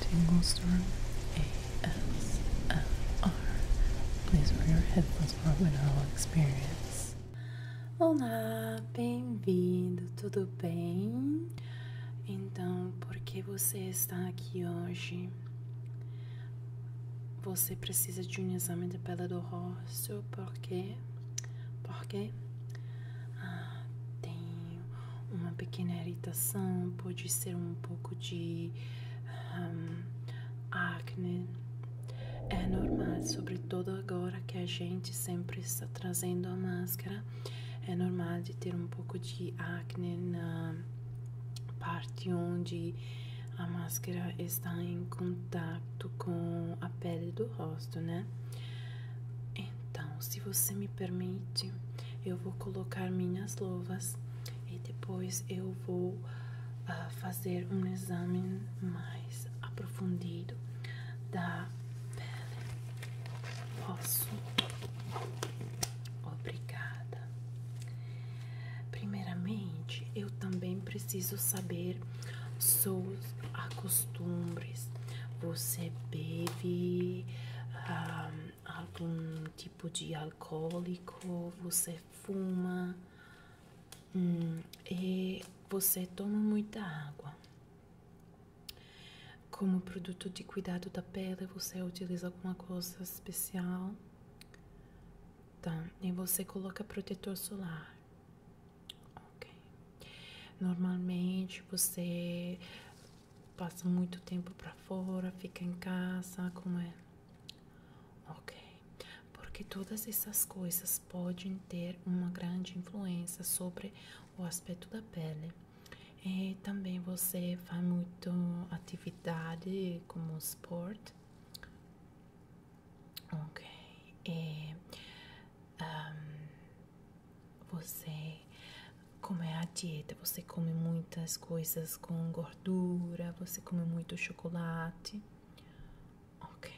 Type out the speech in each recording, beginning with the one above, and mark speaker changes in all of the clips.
Speaker 1: Tinglestorm ASMR. Please wear your headphones for a wonderful experience. Olá, bem-vindo, tudo bem? Então, por que você está aqui hoje? Você precisa de um exame de pele do rosto, por quê? Por quê? Ah, tem uma pequena irritação, pode ser um pouco de hum, acne. É normal, sobretudo agora que a gente sempre está trazendo a máscara, é normal de ter um pouco de acne na parte onde a máscara está em contato com a pele do rosto, né? Então, se você me permite, eu vou colocar minhas luvas e depois eu vou ah, fazer um exame mais aprofundado da pele. Posso? Obrigada. Primeiramente, eu também preciso saber seus acostumbros você bebe ah, algum tipo de alcoólico, você fuma hum, e você toma muita água. Como produto de cuidado da pele, você utiliza alguma coisa especial? Tá, e você coloca protetor solar. Ok. Normalmente você passa muito tempo para fora, fica em casa, como é? Ok, porque todas essas coisas podem ter uma grande influência sobre o aspecto da pele. E também você faz muito atividade como esporte. Ok. você como é a dieta, você come muitas coisas com gordura, você come muito chocolate. Ok.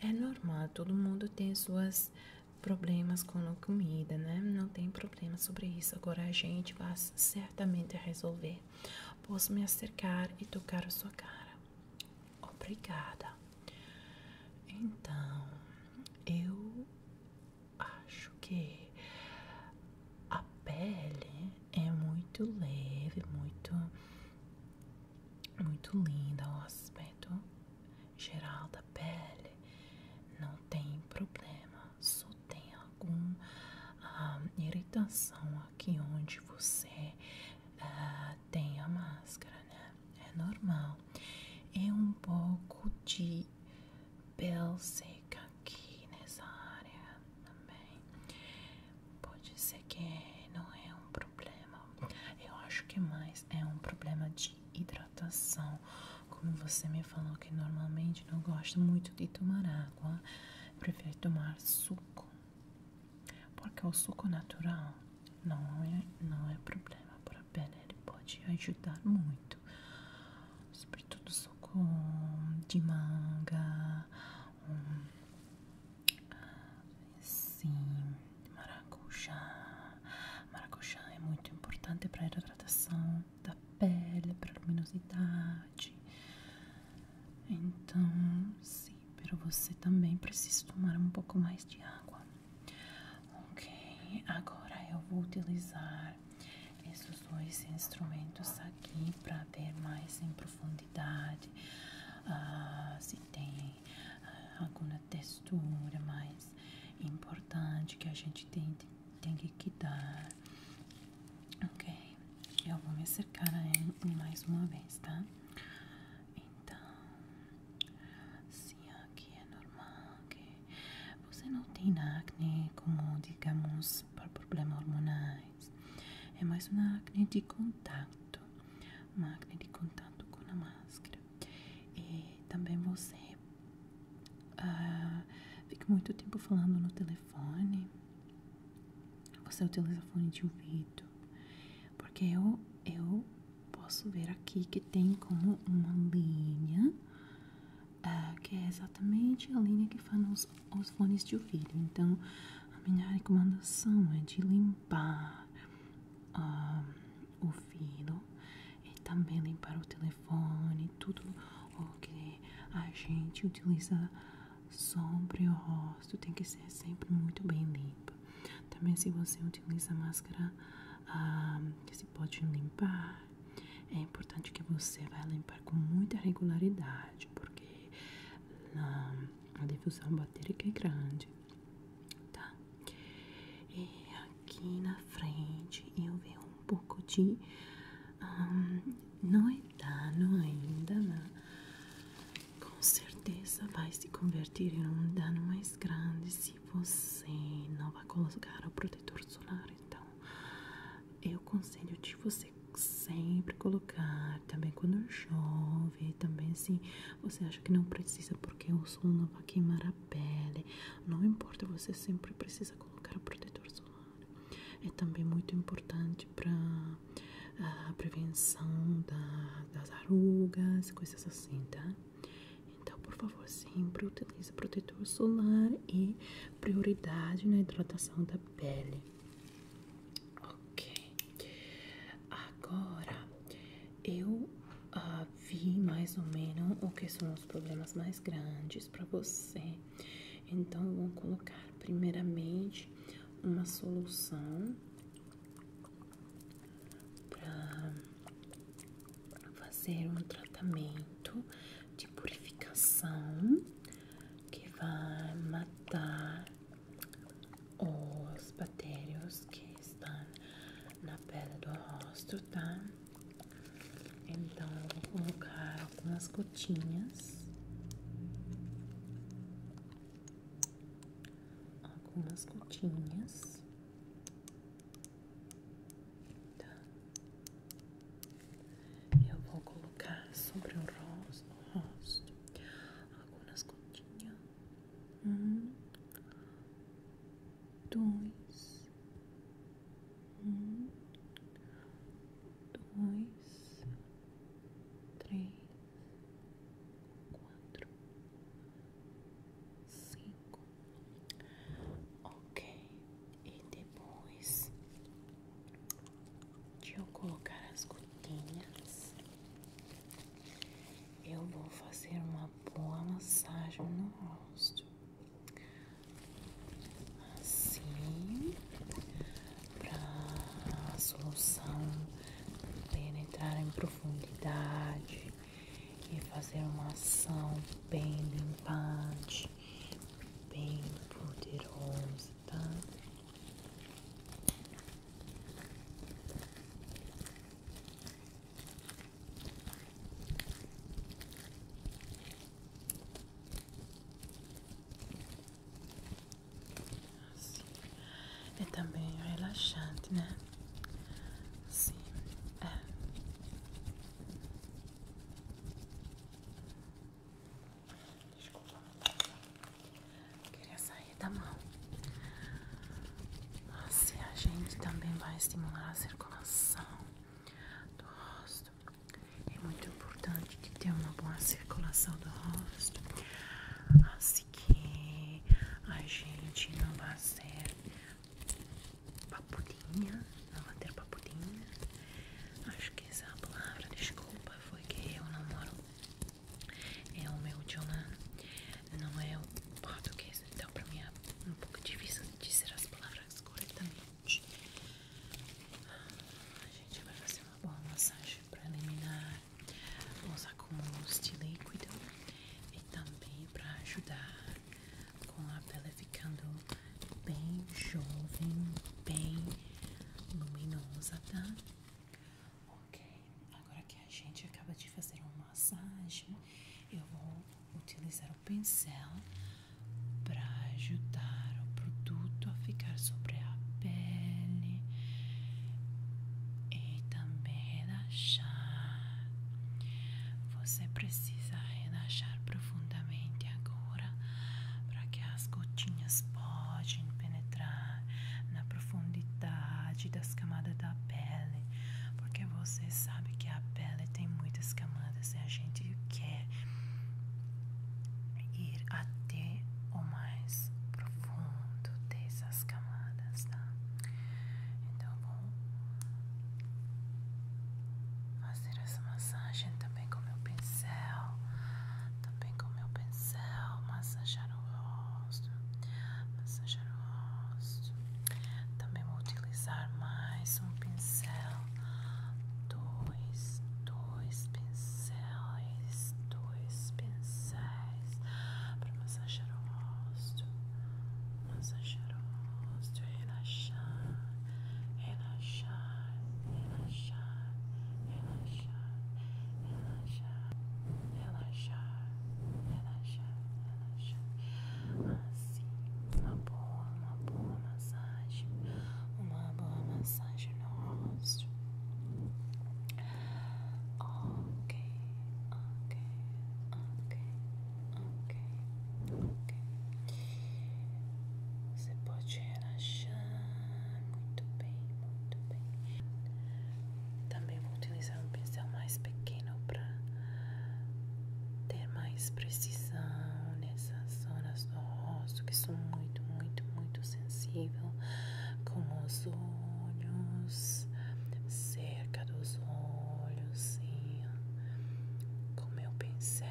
Speaker 1: É normal, todo mundo tem suas problemas com a comida, né? Não tem problema sobre isso. Agora a gente vai certamente resolver. Posso me acercar e tocar sua cara. Obrigada. Então, eu acho que a pele é muito leve, muito muito linda o aspecto geral da pele. Não tem problema, só tem alguma ah, irritação aqui onde você ah, tem a máscara, né? é normal. É um pouco de pele seca aqui nessa área também. Pode ser que não é um problema. Eu acho que é mais é um problema de hidratação. Como você me falou que normalmente não gosta muito de tomar água, prefere tomar suco. Porque o suco natural não é, não é problema para para ele pode ajudar muito. Sobretudo suco de manga, um, sim, maracujá. Maracujá é muito importante para a hidratação da pele, para a luminosidade. Então, sim, pero você também precisa tomar um pouco mais de água. Ok, agora eu vou utilizar esses dois instrumentos aqui para ver mais em profundidade ah, se tem ah, alguma textura mais importante que a gente tem, tem que quitar. Ok, eu vou me acercar mais uma vez, tá? Então, Sim, aqui é normal que você não tem acne como, digamos, para problemas hormonais. É mais uma acne de contato, uma acne de contato com a máscara. E também você uh, fica muito tempo falando no telefone. Você utiliza fone de ouvido. Porque eu, eu posso ver aqui que tem como uma linha é, que é exatamente a linha que faz os, os fones de ouvido. Então, a minha recomendação é de limpar ah, o ouvido e também limpar o telefone, tudo o que a gente utiliza sobre o rosto tem que ser sempre muito bem limpo. Também se você utiliza máscara que ah, se pode limpar, é importante que você vá limpar com muita regularidade, porque ah, a difusão batérica é grande, tá? E aqui na frente eu vejo um pouco de... Ah, não é dano ainda, mas né? Com certeza vai se convertir em um dano mais grande se você não vai colocar o protetor solar. Então, eu conselho de você sempre colocar, também quando chove, também se você acha que não precisa porque o sol não vai queimar a pele. Não importa, você sempre precisa colocar o protetor solar. É também muito importante para a ah, prevenção das arrugas, coisas assim assim, tá? Então, por favor, sempre utilize protetor solar e prioridade na hidratação da pele. Ok. Agora, eu ah, vi mais ou menos o que são os problemas mais grandes para você. Então, vou colocar primeiramente uma solução para fazer um tratamento de purificação que vai matar os bactérios que estão na pele do rosto, tá? Então eu vou colocar algumas gotinhas algumas cotinhas, Tá. Eu vou colocar sobre o rosto, rosto algumas cotinhas, Um, dois, um, dois, três quatro, cinco, ok. E depois de eu colocar as gotinhas, eu vou fazer uma boa massagem no rosto. Assim, para solução penetrar em profundidade e fazer uma ação bem limpante, bem poderosa, tá? É também relaxante, né? Sim, é. Desculpa, queria sair da mão. Assim a gente também vai estimular a circulação do rosto. É muito importante que tenha uma boa circulação do rosto. Assim que a gente não vai ser papudinha, não vai ter papudinha. Acho que essa palavra, desculpa, foi que eu namoro. É o meu Jonan, né? não é o português, então pra mim é um pouco difícil dizer as palavras corretamente. A gente vai fazer uma boa massagem eliminar. Vou usar com este líquido e também para ajudar com a pele ficando bem jovem, bem luminosa, tá? Ok, agora que a gente acaba de fazer uma massagem, eu vou utilizar o pincel para ajudar o produto a ficar sobre a pele e também relaxar. Você precisa relaxar profundamente agora para que as gotinhas possam penetrar na profundidade das camadas da pele, porque você sabe que a pele tem muitas camadas e a gente quer ir até o mais profundo dessas camadas, tá? Então vou fazer essa massagem também com meu pincel, também com meu pincel, massagear o rosto, massagear o rosto. Também vou utilizar mais um pincel, dois, dois dois pincéis, dois pincéis para massagear o rosto, massagear o rosto, relaxar, relaxar, relaxar, relaxar, relaxar, relaxar, relaxar, relaxar. Assim, uma boa, uma boa massagem, uma boa massagem no rosto. Ok, ok, ok, ok, ok. Você pode relaxar muito bem, muito bem. Também vou utilizar um pincel mais pequeno para ter mais precisão nessas zonas do rosto que são muito, muito, muito sensíveis com os olhos, cerca dos olhos, sim, com meu pincel.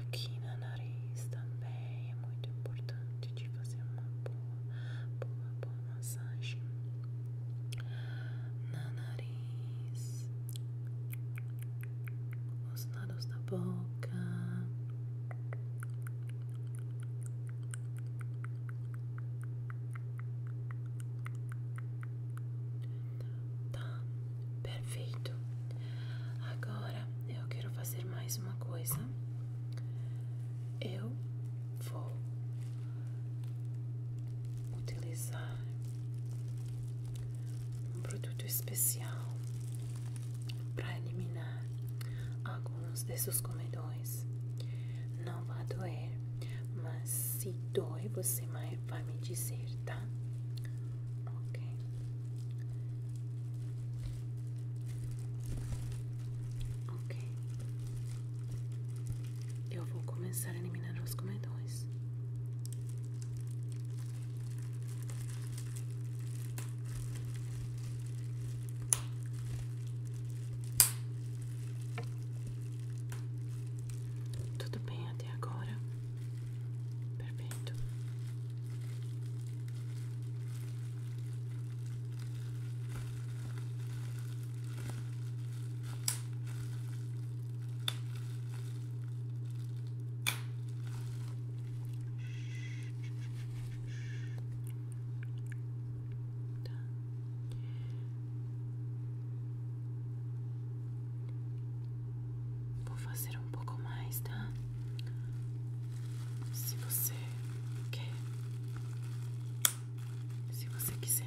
Speaker 1: Aqui na nariz também é muito importante de fazer uma boa, boa, boa massagem na nariz, os nados da boca, tá perfeito. Agora eu quero fazer mais uma coisa. Eu vou utilizar um produto especial para eliminar alguns desses comedões. Não vai doer, mas se doer você vai me dizer, tá? Ok. Ok. Eu vou começar a eliminar os comedões. Tudo bem até agora? Perfeito. Tá. Vou fazer um pouco mais, tá? Se você quer, se você quiser.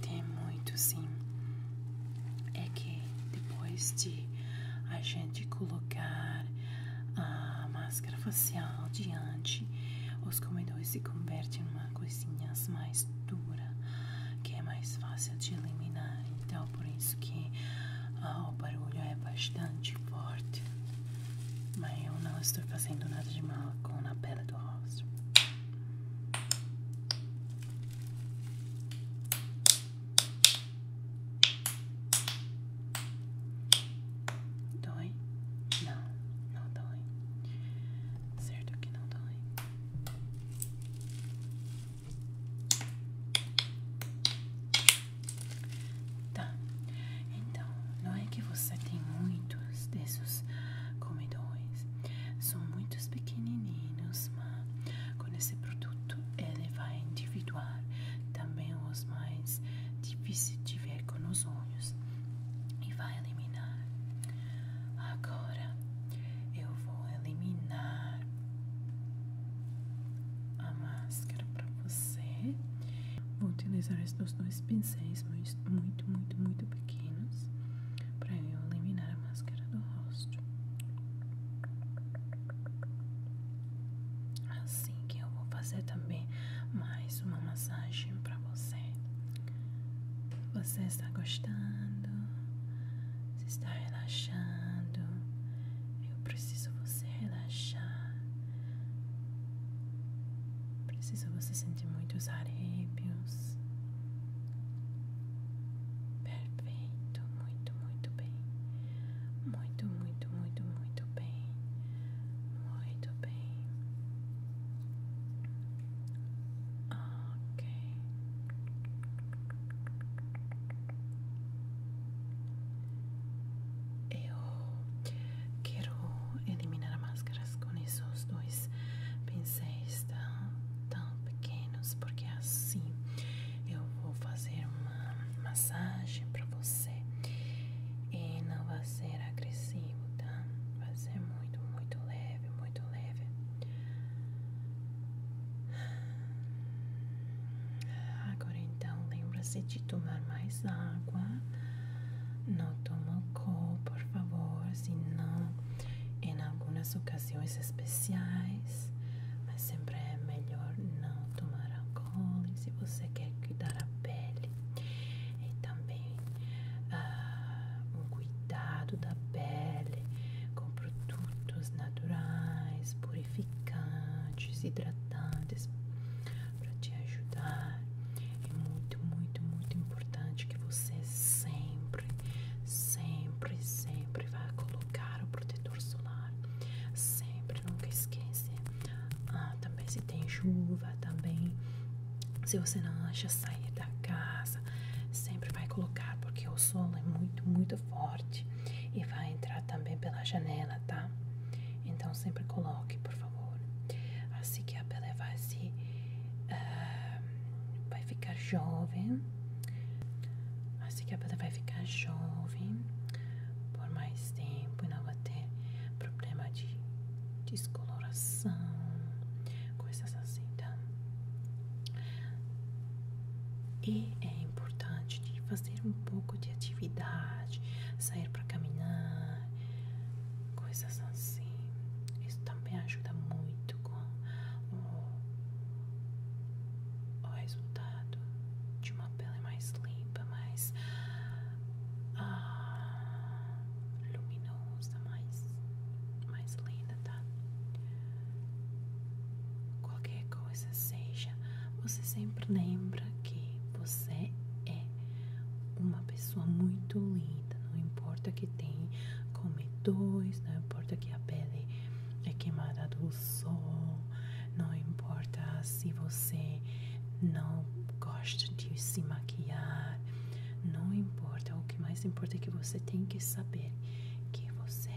Speaker 1: Tem muito sim. É que depois de a gente colocar a máscara facial diante, os comedores se convertem em uma coisinha mais dura, que é mais fácil de eliminar. Então, por isso que ah, o barulho é bastante forte. Mas eu não estou fazendo nada de mal com a pele do rosto. Dói? Não, não dói. Certo que não dói. Tá. Então, não é que você tem muitos desses comedores. São muitos pequenininhos, mas com esse produto ele vai individuar também os mais difíceis de ver com os olhos e vai eliminar. Agora eu vou eliminar a máscara para você. Vou utilizar esses dois pincéis muito, muito, muito pequenos para eu eliminar a máscara do rosto. Assim que eu vou fazer também mais uma massagem para você. Você está gostando? Você está relaxando? Eu preciso você relaxar. Preciso você sentir muitos arrepios. Perfeito, muito, muito bem. Muito, muito, muito, muito bem. Muito bem. Ok. Eu quero eliminar as máscaras com esses dois pincéis tão pequenos, porque assim eu vou fazer uma massagem para você e não vai ser agressivo, tá? Vai ser muito, muito leve, muito leve. Agora então, lembre se de tomar mais água. Não toma álcool, por favor, senão em algumas ocasiões especiais, mas sempre é melhor não tomar álcool se você quer cuidar a pele. E também ah, um cuidado da pele com produtos naturais, purificantes, hidratantes para te ajudar. É muito, muito, muito importante que você sempre, sempre, sempre vá colocar o protetor solar. Sempre, nunca esqueça. Ah, também se tem chuva, também se você não acha sair da casa, sempre vai colocar porque o sol é muito, muito forte e vai entrar também pela janela, tá? Então sempre coloque, por favor. Assim que a pele vai se. Ah, vai ficar jovem. Assim que a pele vai ficar jovem por mais tempo e não vai ter problema de descoloração, coisas assim, tá? E é importante de fazer um pouco de atividade, sair para caminhar, coisas assim. Isso também ajuda muito com o, resultado de uma pele mais limpa, mais ah, luminosa, mais, mais linda Qualquer coisa seja, você sempre lembra que você é uma pessoa muito linda. Não importa que tem cometões, não importa que a pele é queimada do sol, não importa se você não gosta de se maquiar, não importa. O que mais importa é que você tem que saber que você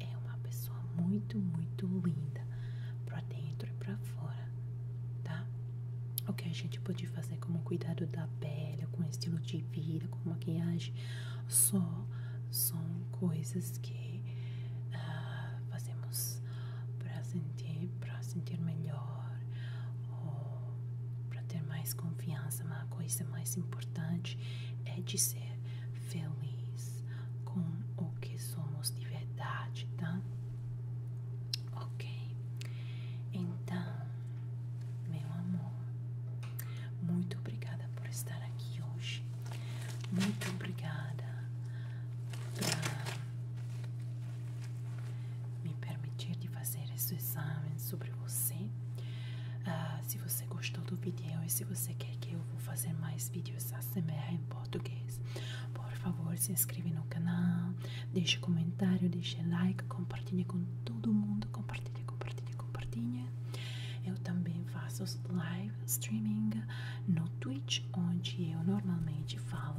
Speaker 1: é uma pessoa muito, muito linda para dentro e para fora, tá? O que a gente pode fazer como cuidado da pele, com estilo de vida, com maquiagem, só são coisas que ah, fazemos para sentir, para sentir melhor ou para ter mais confiança confiança, mas a coisa mais importante é de ser feliz com o que somos de verdade, tá? Ok, então, meu amor, muito obrigada por estar aqui hoje, muito obrigada pra me permitir de fazer esse exame sobre você. Ah, se você você gostou do vídeo e se você quer que eu vou fazer mais vídeos ASMR em português, por favor se inscreve no canal, deixe comentário, deixe like, compartilhe com todo mundo, compartilhe, compartilhe, compartilhe. Eu também faço live streaming no Twitch, onde eu normalmente falo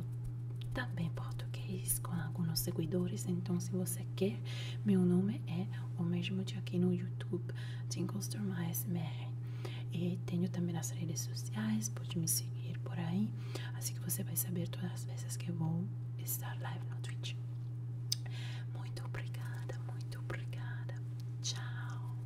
Speaker 1: também português com alguns seguidores, então se você quer meu nome nome é o mesmo de aqui no YouTube, Jingles Turma E tenho também nas redes sociais, pode me seguir por aí, assim que você vai saber todas as vezes que eu vou estar live no Twitch. Muito obrigada, muito obrigada. Tchau.